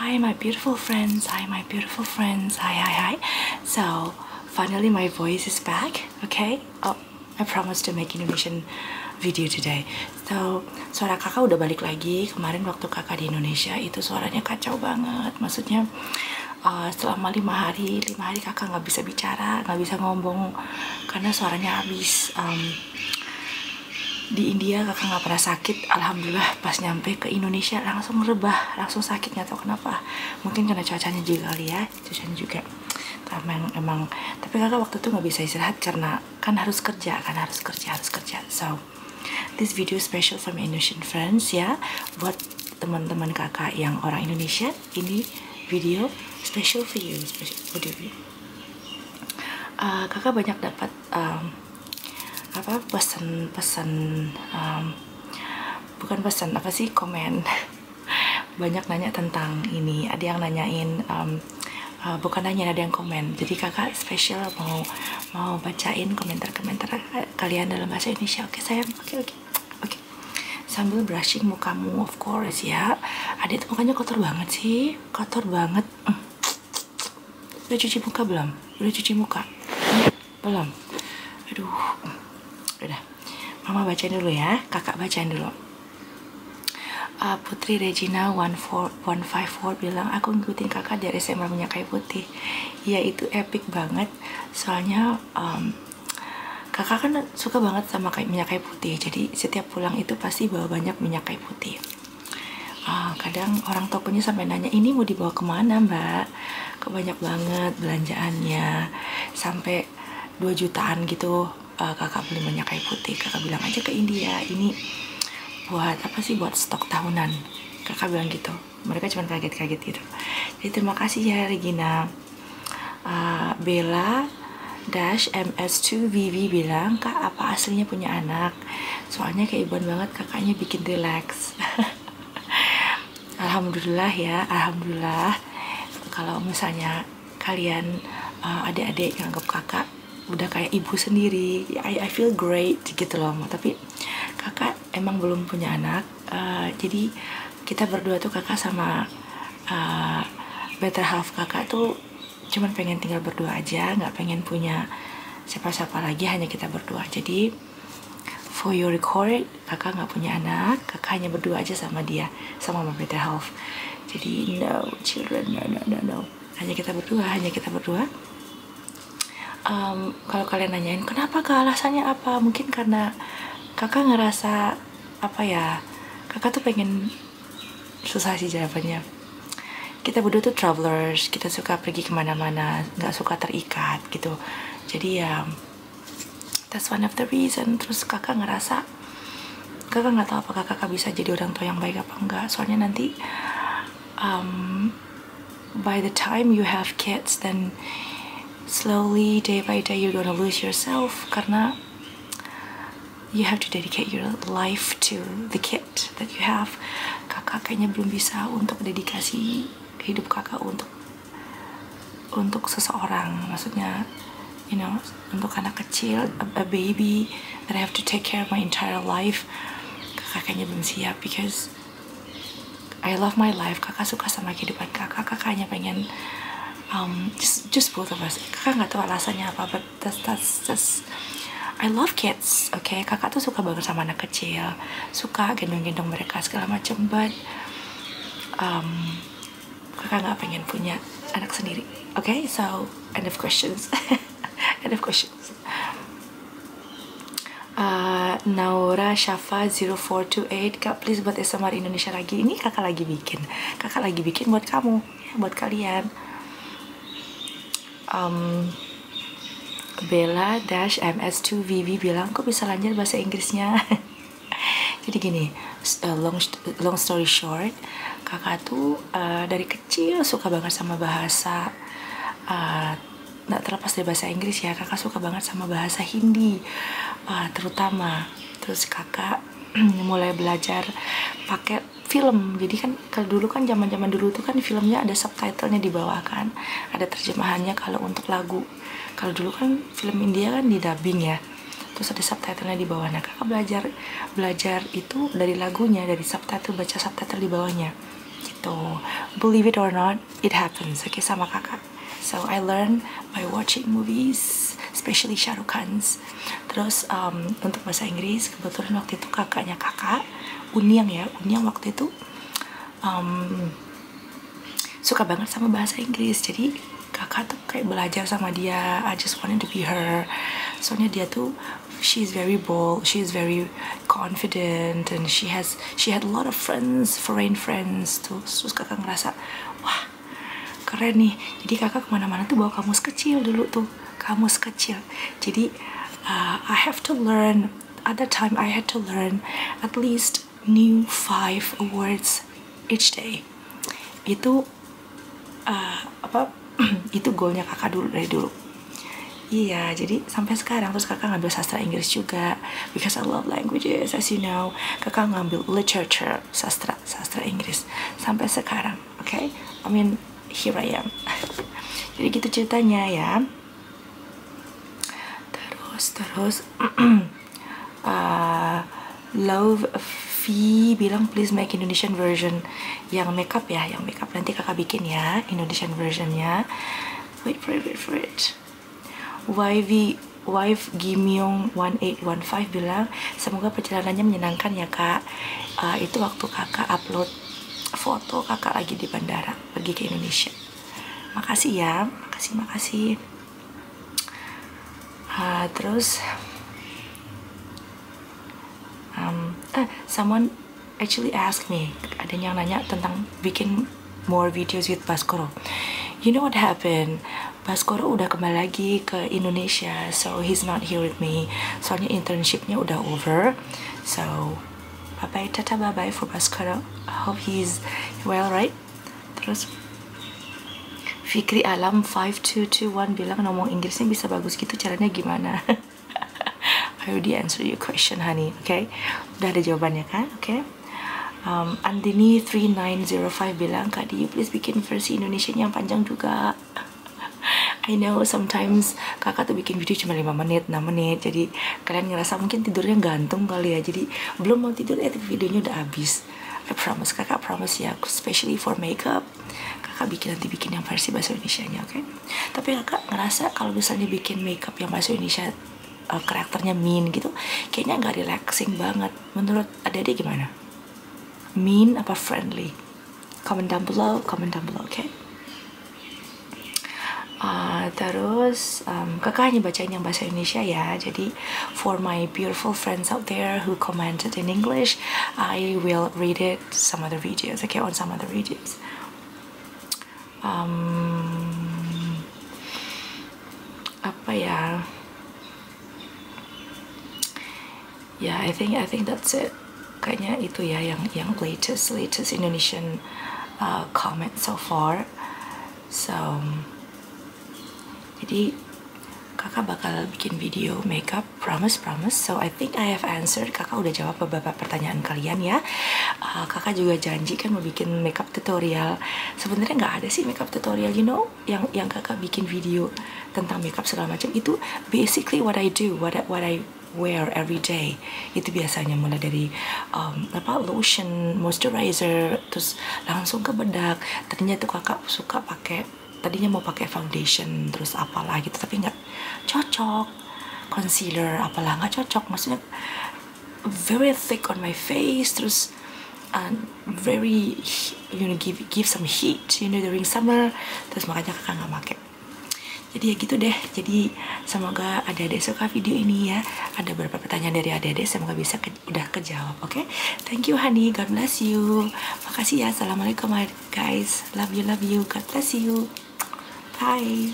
Hi, my beautiful friends. Hi, my beautiful friends. Hi, hi, hi. So, finally, my voice is back. Okay. Oh, I promise to make Indonesian video today. So, suara kakak udah balik lagi. Kemarin waktu kakak di Indonesia itu suaranya kacau banget. Maksudnya uh, selama lima hari, lima hari kakak nggak bisa bicara, nggak bisa ngomong karena suaranya habis. Um, di India kakak nggak pernah sakit alhamdulillah pas nyampe ke Indonesia langsung rebah langsung sakit nggak tahu kenapa mungkin karena cuacanya juga kali ya cuacanya juga emang emang tapi kakak waktu itu nggak bisa istirahat karena kan harus kerja kan harus kerja harus kerja so this video special from Indonesian friends ya buat teman-teman kakak yang orang Indonesia ini video special for you special for you uh, kakak banyak dapat um, apa pesan-pesan um, bukan pesan apa sih komen banyak nanya tentang ini ada yang nanyain um, uh, bukan nanya ada yang komen jadi kakak spesial mau mau bacain komentar-komentar kalian dalam bahasa Indonesia oke okay, sayang oke okay, oke okay. oke sambil brushing mukamu of course ya adik tuh mukanya kotor banget sih kotor banget mm. Udah cuci muka belum? Udah cuci muka? Belum? Aduh. Udah. Mama bacain dulu ya. Kakak bacain dulu. Uh, Putri Regina 14154 bilang aku ngikutin kakak dari SMA Minyak Kayu Putih. Ya itu epic banget. Soalnya um, kakak kan suka banget sama kayak minyak kayu putih. Jadi setiap pulang itu pasti bawa banyak minyak kayu putih uh, kadang orang tokonya sampai nanya ini mau dibawa kemana mbak ke banyak banget belanjaannya sampai 2 jutaan gitu uh, kakak beli banyak kayu putih kakak bilang aja ke India ini buat apa sih buat stok tahunan kakak bilang gitu mereka cuma kaget-kaget gitu jadi terima kasih ya Regina uh, Bella dash ms2 Vivi bilang kak apa aslinya punya anak soalnya kayak keibuan banget kakaknya bikin relax alhamdulillah ya alhamdulillah kalau misalnya kalian uh, adik-adik yang anggap kakak udah kayak ibu sendiri I, I feel great gitu loh tapi kakak emang belum punya anak uh, jadi kita berdua tuh kakak sama uh, better half kakak tuh cuman pengen tinggal berdua aja nggak pengen punya siapa-siapa lagi hanya kita berdua jadi for your record kakak nggak punya anak kakak hanya berdua aja sama dia sama mama Peter Health jadi no children no no no no hanya kita berdua hanya kita berdua um, kalau kalian nanyain kenapa ke alasannya apa mungkin karena kakak ngerasa apa ya kakak tuh pengen susah sih jawabannya kita berdua tuh travelers kita suka pergi kemana-mana nggak suka terikat gitu jadi ya that's one of the reason terus kakak ngerasa kakak nggak tahu apakah kakak bisa jadi orang tua yang baik apa enggak soalnya nanti um, by the time you have kids then slowly day by day you're gonna lose yourself karena you have to dedicate your life to the kid that you have kakak kayaknya belum bisa untuk dedikasi hidup kakak untuk untuk seseorang maksudnya you know untuk anak kecil a, a baby that I have to take care of my entire life kakak kayaknya belum siap because I love my life kakak suka sama kehidupan kakak kakak hanya pengen um, just just both of us kakak nggak tahu alasannya apa but that's that's just I love kids, oke. Okay? Kakak tuh suka banget sama anak kecil, suka gendong-gendong mereka segala macem, but um, kakak nggak pengen punya anak sendiri, oke? Okay? So end of questions, end of questions. Uh, Naura Shafa 0428 Kak please buat SMR Indonesia lagi Ini kakak lagi bikin Kakak lagi bikin buat kamu ya, buat kalian um, Bella dash MS2 Vivi bilang kok bisa lanjut bahasa Inggrisnya jadi gini eh, long long story short kakak tuh uh, dari kecil suka banget sama bahasa eh, nggak terlepas dari bahasa Inggris ya kakak suka banget sama bahasa Hindi uh, terutama terus kakak mulai belajar pakai film jadi kan kalau dulu kan zaman zaman dulu tuh kan filmnya ada subtitlenya di bawah kan ada terjemahannya kalau untuk lagu kalau dulu kan film India kan di dubbing ya terus ada subtitlenya di bawah nah kakak belajar belajar itu dari lagunya dari subtitle baca subtitle di bawahnya gitu believe it or not it happens oke okay, sama kakak so I learn by watching movies especially Shah Khan's terus um, untuk bahasa Inggris kebetulan waktu itu kakaknya kakak Unyang ya Unyang waktu itu um, suka banget sama bahasa Inggris jadi kakak tuh kayak belajar sama dia I just wanted to be her soalnya dia tuh she is very bold she is very confident and she has she had a lot of friends foreign friends tuh terus kakak ngerasa wah keren nih jadi kakak kemana-mana tuh bawa kamus kecil dulu tuh kamus kecil jadi uh, I have to learn at that time I had to learn at least new five words each day itu uh, apa itu goalnya kakak dulu dari dulu Iya, jadi sampai sekarang terus kakak ngambil sastra Inggris juga because I love languages as you know. Kakak ngambil literature sastra sastra Inggris sampai sekarang oke okay? I mean here I am jadi gitu ceritanya ya terus terus uh, love fee bilang please make Indonesian version yang makeup ya yang makeup nanti kakak bikin ya Indonesian versionnya wait for it wait for it YV Wife Gimyong 1815 bilang semoga perjalanannya menyenangkan ya kak uh, itu waktu kakak upload foto kakak lagi di bandara pergi ke Indonesia makasih ya makasih makasih uh, terus um, uh, someone actually ask me ada yang nanya tentang bikin more videos with Baskoro you know what happened Baskoro udah kembali lagi ke Indonesia so he's not here with me soalnya internshipnya udah over so bye bye tata bye bye for Baskoro I hope he's well right terus Fikri Alam 5221 bilang ngomong Inggrisnya bisa bagus gitu caranya gimana I already answer your question honey oke okay? udah ada jawabannya kan oke okay? um, Andini 3905 bilang Kak Diyu please bikin versi Indonesia yang panjang juga I know sometimes kakak tuh bikin video cuma 5 menit, 6 menit Jadi kalian ngerasa mungkin tidurnya gantung kali ya Jadi belum mau tidur ya videonya udah habis I promise, kakak promise ya Especially for makeup Kakak bikin nanti bikin yang versi bahasa Indonesia nya oke okay? Tapi kakak ngerasa kalau misalnya bikin makeup yang bahasa Indonesia uh, karakternya mean gitu kayaknya nggak relaxing banget menurut adik-adik gimana mean apa friendly comment down below comment down below oke okay? Uh, terus um, kakak hanya bacain yang bahasa Indonesia ya jadi for my beautiful friends out there who commented in English I will read it some other videos okay on some other videos um, apa ya ya yeah, I think I think that's it kayaknya itu ya yang yang latest latest Indonesian uh, comment so far so um, jadi kakak bakal bikin video makeup promise promise so I think I have answered kakak udah jawab beberapa pertanyaan kalian ya uh, kakak juga janji kan mau bikin makeup makeup tutorial sebenarnya nggak ada sih makeup tutorial you know yang yang kakak bikin video tentang makeup segala macam itu basically what I do what I, what I wear every day itu biasanya mulai dari um, apa lotion moisturizer terus langsung ke bedak tadinya tuh kakak suka pakai tadinya mau pakai foundation terus apalah gitu tapi nggak cocok concealer apalah nggak cocok maksudnya very thick on my face terus and um, very you know give give some heat you know during summer terus makanya kakak nggak pakai jadi ya gitu deh jadi semoga adik-adik suka video ini ya ada beberapa pertanyaan dari adik-adik semoga bisa ke, udah kejawab oke okay? thank you honey god bless you makasih ya assalamualaikum guys love you love you god bless you bye